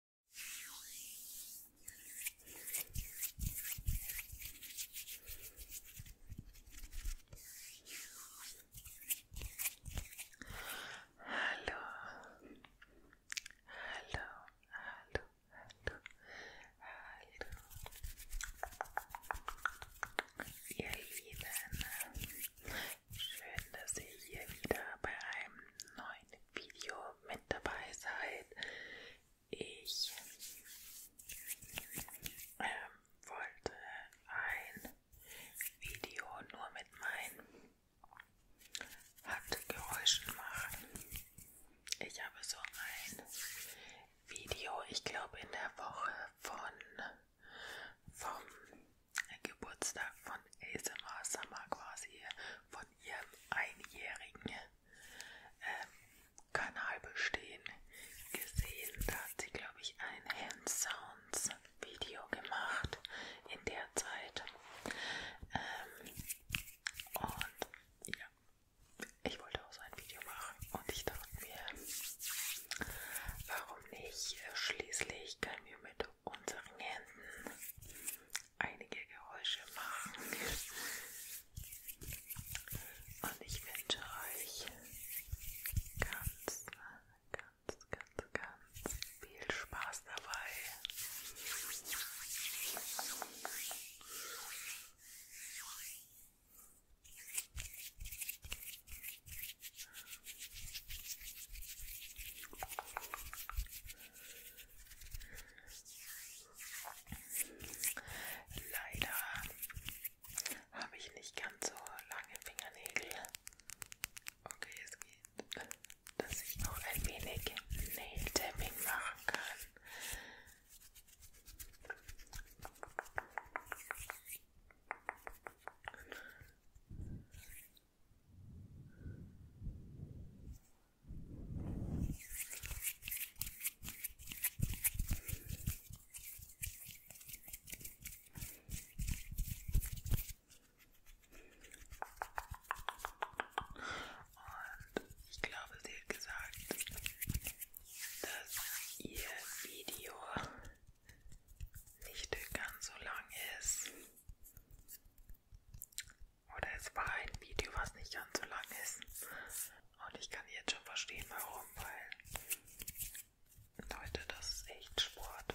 Hello, hello, hello, hello, hello, ihr Lieben, schön, dass ihr hier wieder bei einem neuen Video mit dabei seid. Ich ähm, wollte ein Video nur mit meinen Handgeräuschen machen. Ich habe so ein Video, ich glaube in der Woche von vom Geburtstag von ASMR Summer quasi, von von ihrem einjährigen ähm, Kanal bestehen gesehen. Da hat sie, glaube ich, ein Hand-Sounds-Video gemacht in der Zeit. Ähm, und ja, ich wollte auch so ein Video machen und ich dachte mir, warum nicht? Schließlich können wir mit unseren Händen einige Geräusche machen. Und ich wünsche euch ganz, ganz, ganz, ganz viel Spaß dabei. So, Leider habe ich nicht ganz so lange Fingernägel. Okay, es geht, dass ich noch ein wenig Nail-Tapping machen kann. Und ich glaube, sie hat gesagt, dass ihr Video nicht ganz so lang ist. Oder es war ein Video, was nicht ganz so lang ist. Und ich kann jetzt schon verstehen, warum, weil Leute, das ist echt Sport.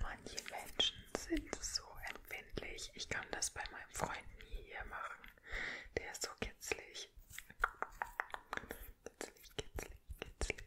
Manche Menschen sind so empfindlich. Ich kann das bei meinem Freund nie hier machen. Der ist so kitzlig. Kitzlig, kitzlig, kitzlig.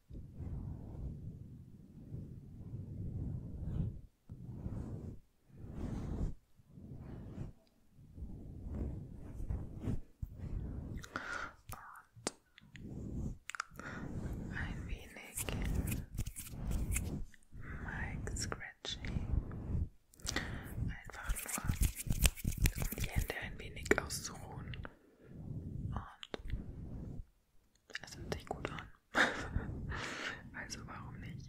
Und ein wenig Mic Scratching. Einfach nur, um die Hände ein wenig auszuruhen. Und es hört sich gut an. also warum nicht?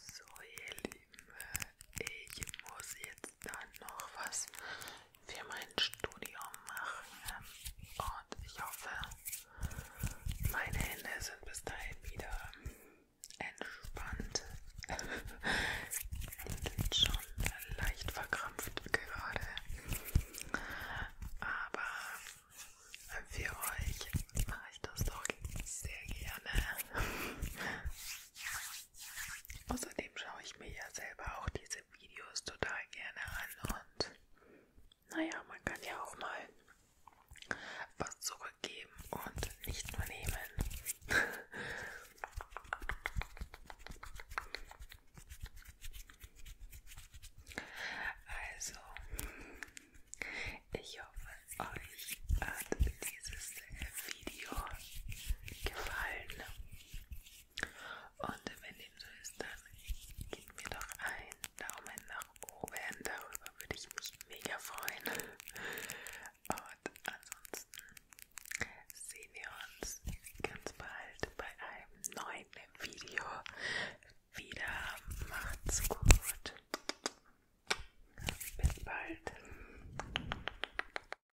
So ihr Lieben, ich muss jetzt dann noch was für mein Studium machen und ich hoffe, meine Hände sind bis dahin wieder entspannt. Die sind schon leicht verkrampft gerade, aber für euch mache ich das doch sehr gerne. Außerdem schaue ich mir ja selber auch diese Videos total gerne an und naja, man kann ja auch mal was zurückgeben und nicht nur nehmen. Also, ich hoffe, euch hat dieses Video gefallen. Und wenn dem so ist, dann gib mir doch einen Daumen nach oben. Darüber würde ich mich mega freuen. Und ansonsten sehen wir uns ganz bald bei einem neuen Video wieder. Macht's gut. Bis bald.